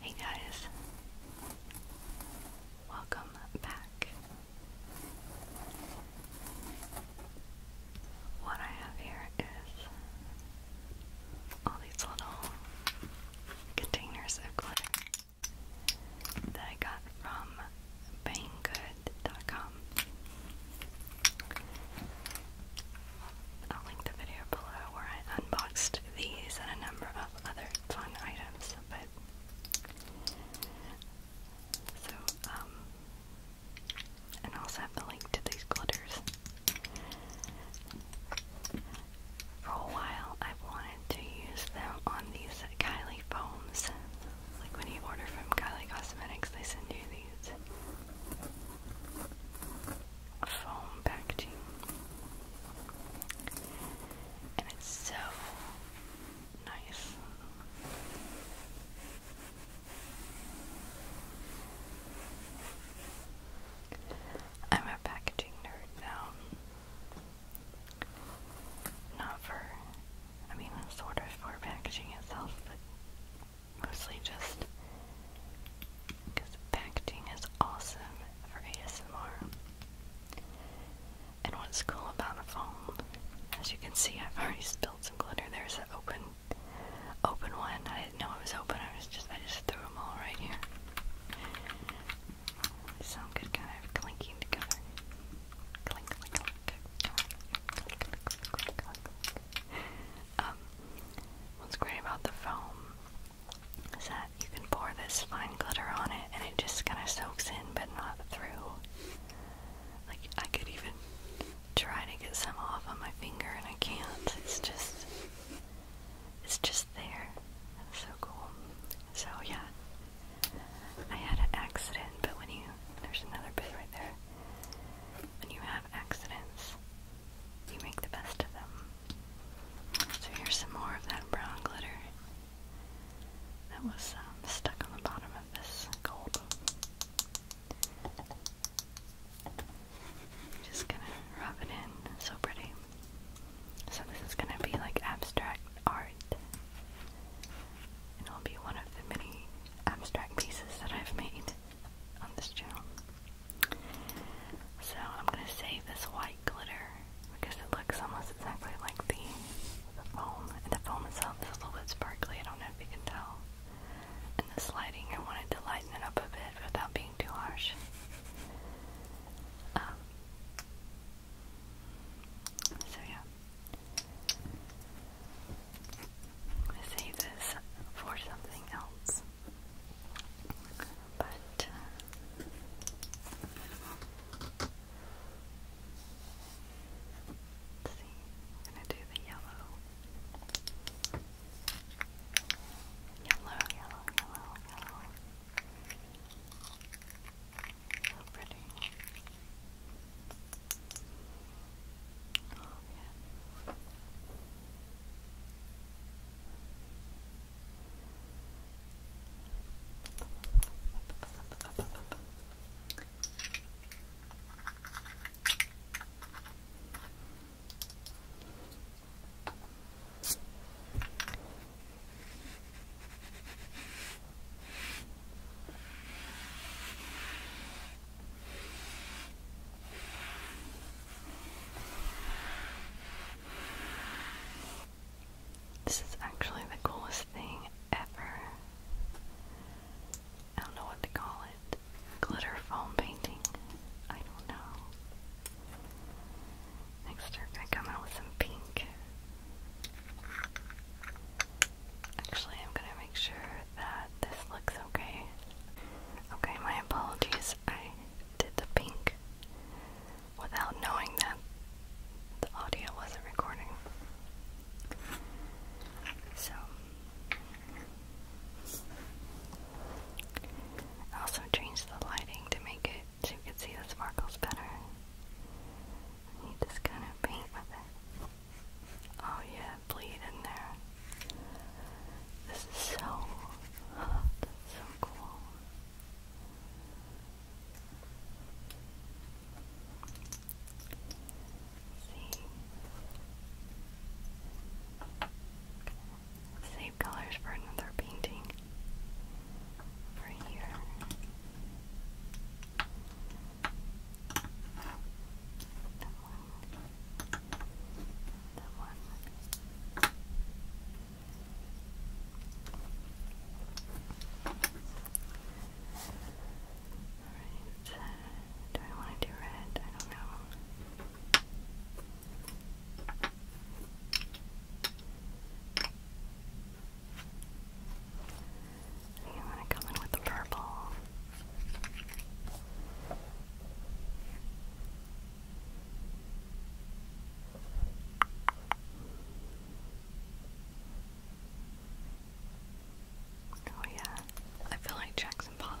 Hey guys, welcome back. What I have here is all these little containers of glitter that I got from banggood.com. I'll link the video below where I unboxed these and a number of other fun items, but so um, and I also have the link to these glitters. For a while, I've wanted to use them on these Kylie foams. Like when you order from Kylie Cosmetics, they send you these foam packaging. And it's so nice. I'm a packaging nerd now. Not for, I mean, sort of for packaging itself, but mostly just because packaging is awesome for ASMR. And what's cool about the foam, as you can see, I've already spilled some glitter. There's an open, open one. I didn't know it was open. I was just, I just threw them all right here. They sound good, kind of clinking together. Clink, clink, clink, clink, clink, clink, clink, clink. Um, what's great about the foam is that you can pour this fine glitter on it and it just kind of soaks in but not through. Like, I could even try to get some off on my finger and I can't. It's just, it's just there. That's so cool. So, yeah, I had an accident, but when you there's another bit right there. When you have accidents, you make the best of them. So here's some more of that brown glitter that was um, stuck on the bottom of this gold. Just gonna rub it in. so pretty. So this is gonna be like abstract art. it'll be one of the many abstract pieces that I've made on this channel. So I'm gonna save this white glitter because it looks almost exactly like the, foam. And the foam itself is a little bit sparkly, I don't know if you can tell. And the sliding, I wanted to lighten it up a bit without being too harsh. Um, so yeah. I'm gonna save this for something else. But uh, let's see. I'm gonna do the yellow. Yellow, yellow, yellow, yellow. So pretty. Oh, yeah. This is actually the coolest thing ever. I don't know what to call it. Glitter foam painting. I don't know. Next we're gonna come out with some pink. Actually, I'm gonna make sure that this looks okay. Okay, my apologies. I did the pink without knowing that the audio wasn't recording. So, I also changed the lighting to make it so you can see the sparkles better. And you just kind of paint with it. Oh yeah, bleed in there. This is so, so cool. see save colors for another painting right here. That one. That one. Alright. Uh, do I want to do red? I don't know. You want to come in with the purple. Oh yeah, I feel like Jackson Pollock.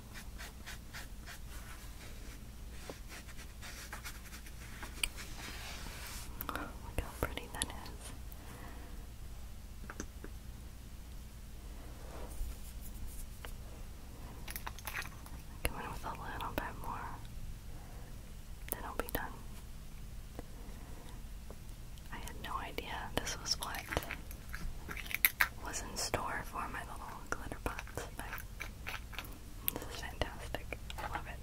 Look how pretty that is. Come in with a little bit more, then I'll be done. I had no idea this was what was in store for my little glitter pots, this is fantastic. I love it.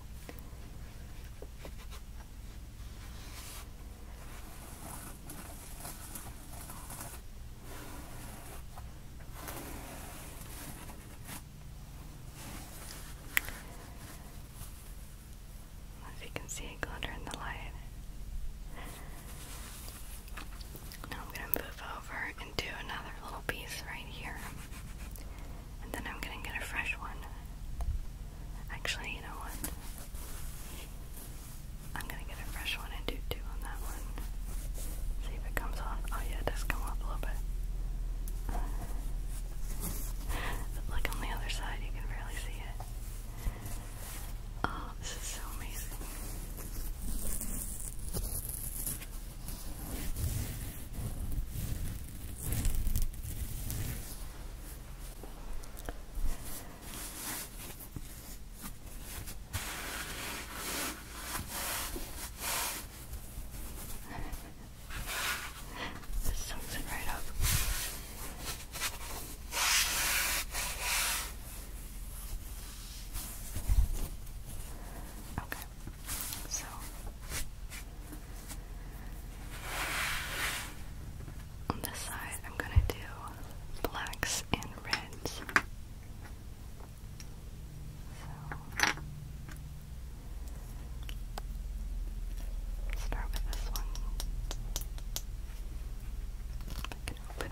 As you can see, it glitter in the light. Now I'm going to move over and do another little piece right here. And then I'm going to get a fresh one. Actually, you know what? I'm going to get a fresh one and do two on that one. See if it comes off. Oh yeah, it does come off a little bit. But on the other side, you can barely see it. Oh, this is so amazing this soaks it right up. Okay, so on this side, I'm gonna do blacks and reds. So start with this one. can open it.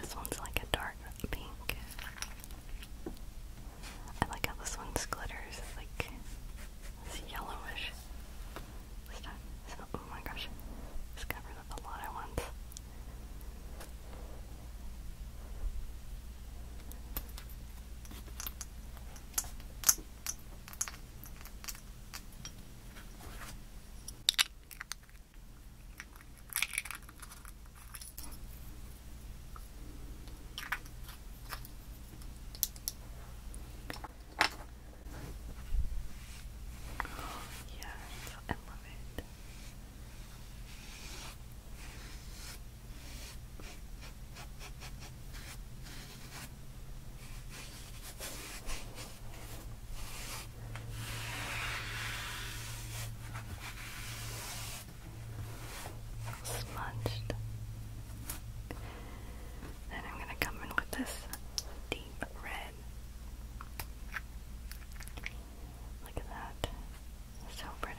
This one's like a dark pink. I like how this one's glitters. It's like it's yellowish. This time. oh my gosh. Just covered up a lot at once. Yeah, I love it. Smudged. Then I'm going to come in with this deep red. Look at that. So pretty.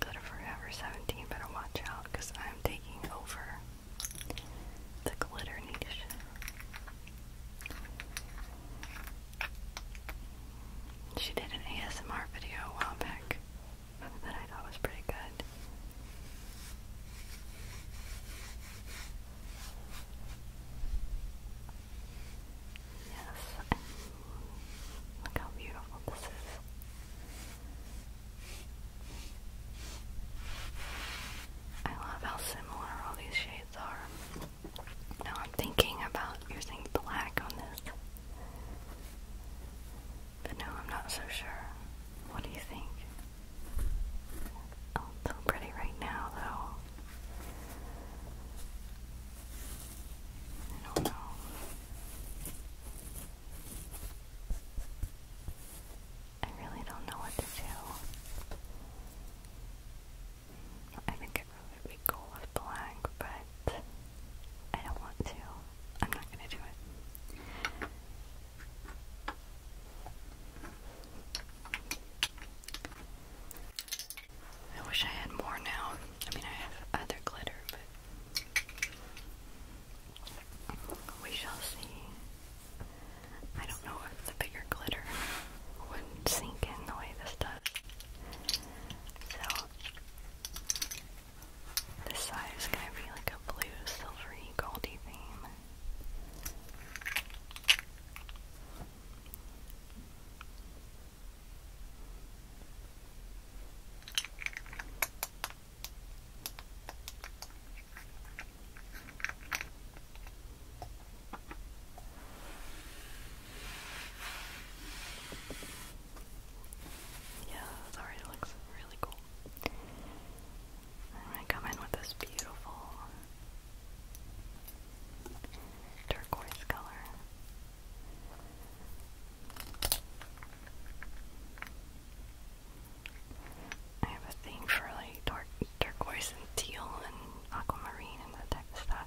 Go Forever 17, better watch out I'm taking over the glitter niche. She did an ASMR video a while back that I thought was pretty good. Yes, look how beautiful this is. I love how similar all these shades are. Now I'm thinking about using black on this. But no, I'm not so sure. What do you think? so pretty right now, though. I don't know. I really don't know what to do. I think would be cool with black, but I don't want to. I'm not gonna do it. I wish I had more now. I mean, I have other glitter, but we shall see. I don't know if the bigger glitter would sink in the way this does. So this side is gonna be like a blue, silvery, goldy theme. Yeah, this already looks really cool. I'm gonna come in with this beautiful turquoise color. I have a thing for like dark turquoise and teal and aquamarine and that type of stuff.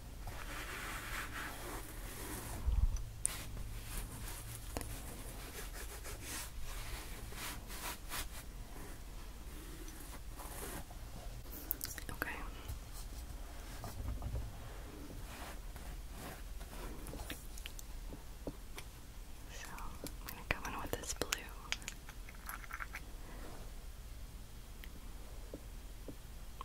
Okay. So I'm gonna come in with this blue.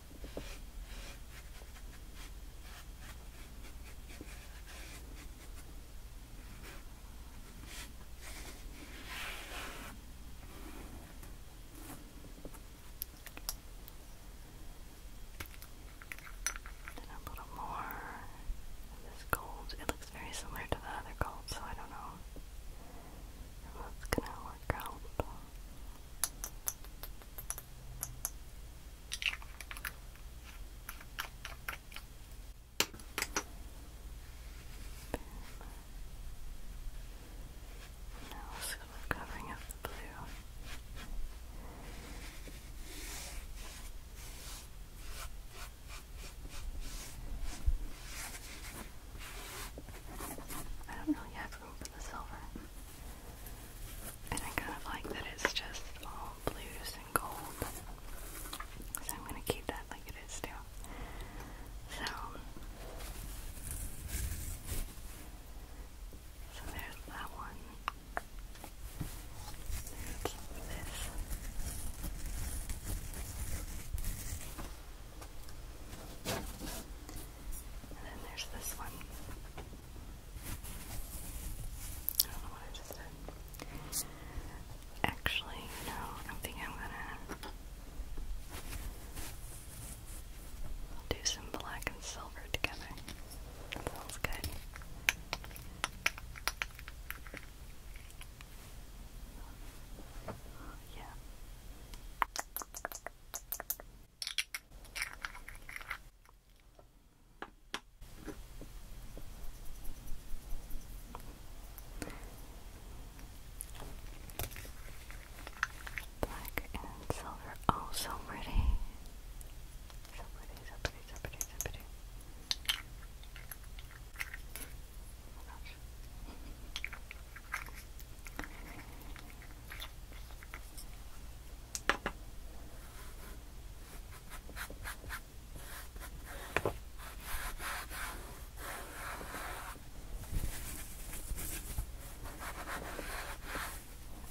a little more this gold. It looks very similar to the other gold, so I don't know if that's gonna work out. Now sort of covering up the blue. I don't really have room for the silver. And I kind of like that it's just all blues and gold. So I'm going to keep that like it is too. So, so there's that one. There's this. And then there's this one. I don't know what I just said. Actually, no, I think I'm gonna do some black and silver together. That sounds good. Yeah. Black and silver. Oh, so pretty. So pretty, so pretty, so pretty, so pretty. Oh my gosh.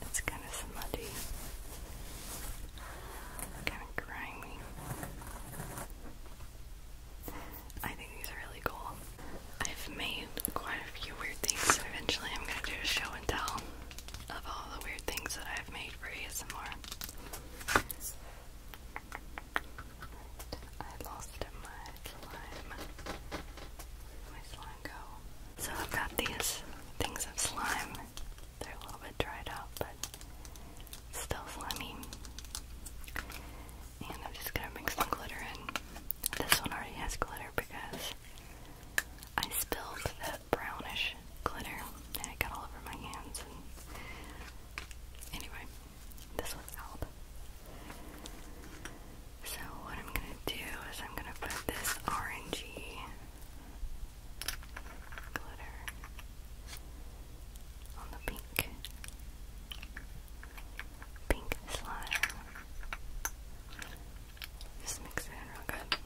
It's kind of smutty, kind of grimy. I think these are really cool. I've made quite a few weird things. Eventually, I'm gonna do a show and tell of all the weird things that I've made for you. more. I lost my slime. my slime go? So I've got these things of slime. They're a little bit dried out, but still slimy. And I'm just gonna mix some glitter in. This one already has glitter because I spilled that brownish glitter and it got all over my hands. anyway, this was out. So what I'm gonna do is I'm gonna put this orangey glitter on the pink pink slime. Just mix it in real good.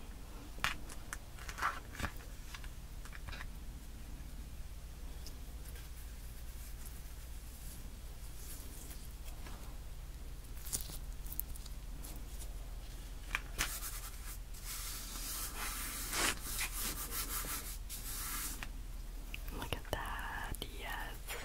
Look at that, yes.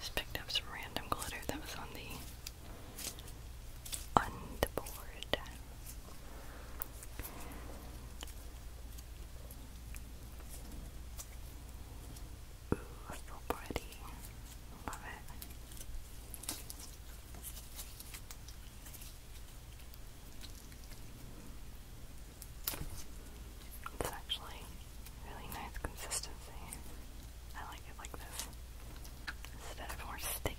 Just picked up some random glitter that was on the on Ooh, so pretty. Love it. It's actually really nice consistency. I like it like this. Instead of more sticky.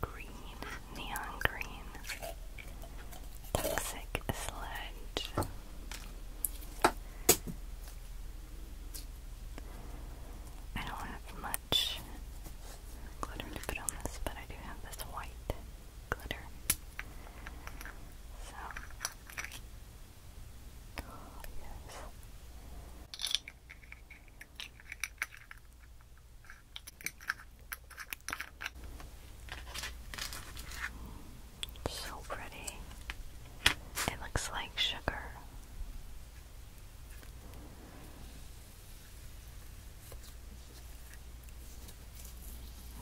Green, neon green, toxic sludge. I don't have much glitter to put on this, but I do have this white glitter. So, yes. So pretty. It looks like sugar.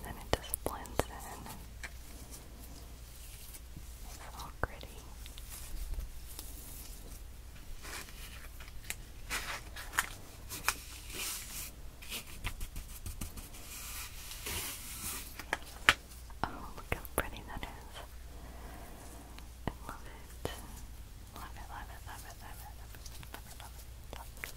then it just blends in. They're Oh, look how pretty that is. I love it, love it, love it, love it, love it, love it. Love it.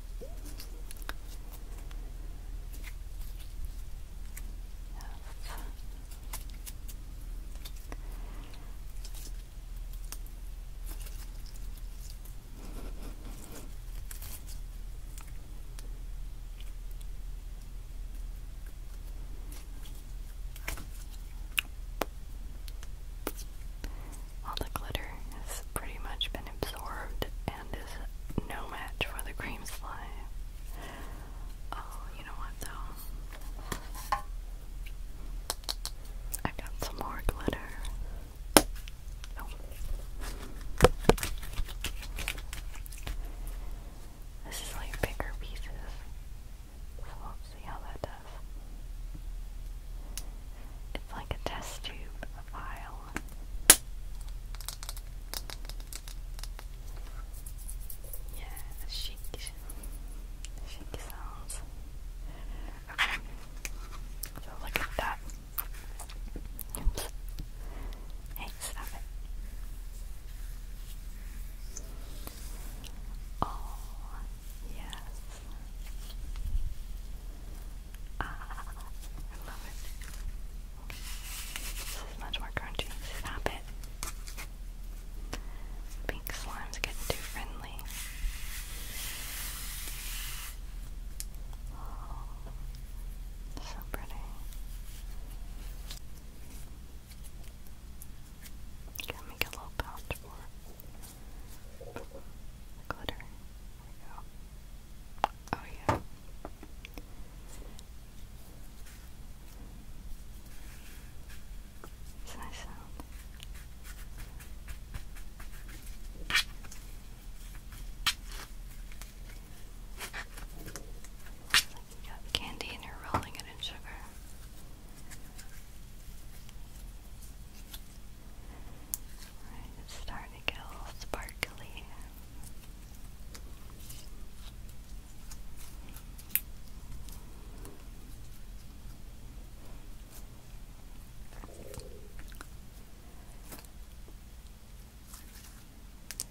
All the glitter has pretty much been absorbed is no match for the cream slime. Oh, you know what though? I got some more glitter. Oh. This is like bigger pieces. So let's see how that does. It's like a test tube vial yeah, shake, shake sounds. Okay, so look at that. Hey, stop it. Oh, yes. Ah, I love it. This is much more crunchy. Stop it. Pink slime's getting too friendly. so pretty. got make a little pouch for glitter. There we go. Oh, yeah. It's nice sound. It's like you got candy and you're rolling it in sugar starting to get a little sparkly.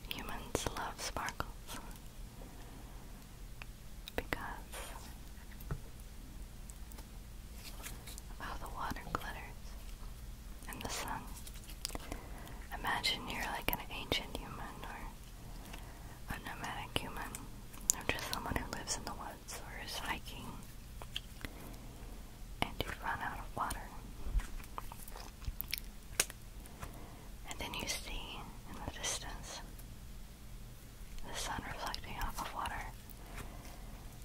Humans love sparkles because how oh, the water glitters in the sun. Imagine you're like an ancient human or a nomadic human, or just someone who lives in the woods or is hiking, and you run out of water. And then you see in the distance the sun reflecting off of water.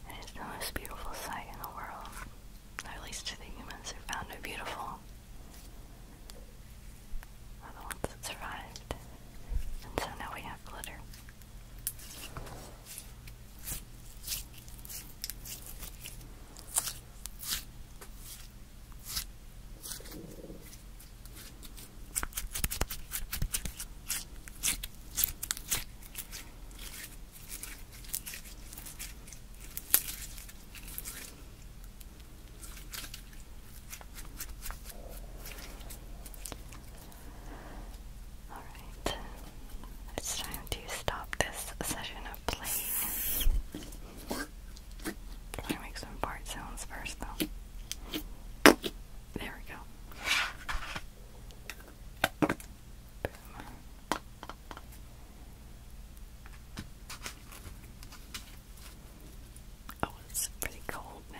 It is the most beautiful sight in the world, at least to the humans who found it beautiful. Are the ones that survived, and so now we have glitter. Alright, it's time to stop this session of playing. Try make some part sounds first though. There we go. Oh, it's pretty cold now.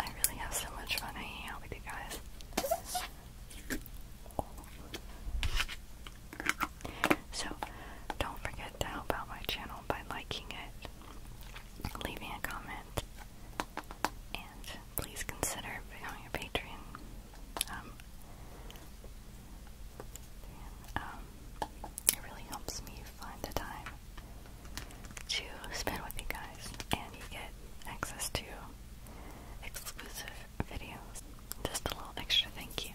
I really have so much fun hanging out with you guys. So, don't forget to help out my channel by liking it, leaving a comment, and please consider becoming a patron. Um, um, it really helps me find the time to spend with you guys, and you get access to exclusive videos. Just a little extra thank you.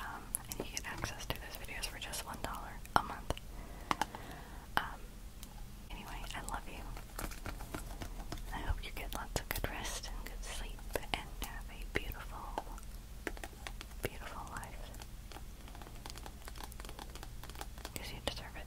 Um, and you get access to those videos for just $1 a month. Um, anyway, I love you. I hope you get lots of good rest good sleep and have a beautiful, beautiful life. Because you deserve it.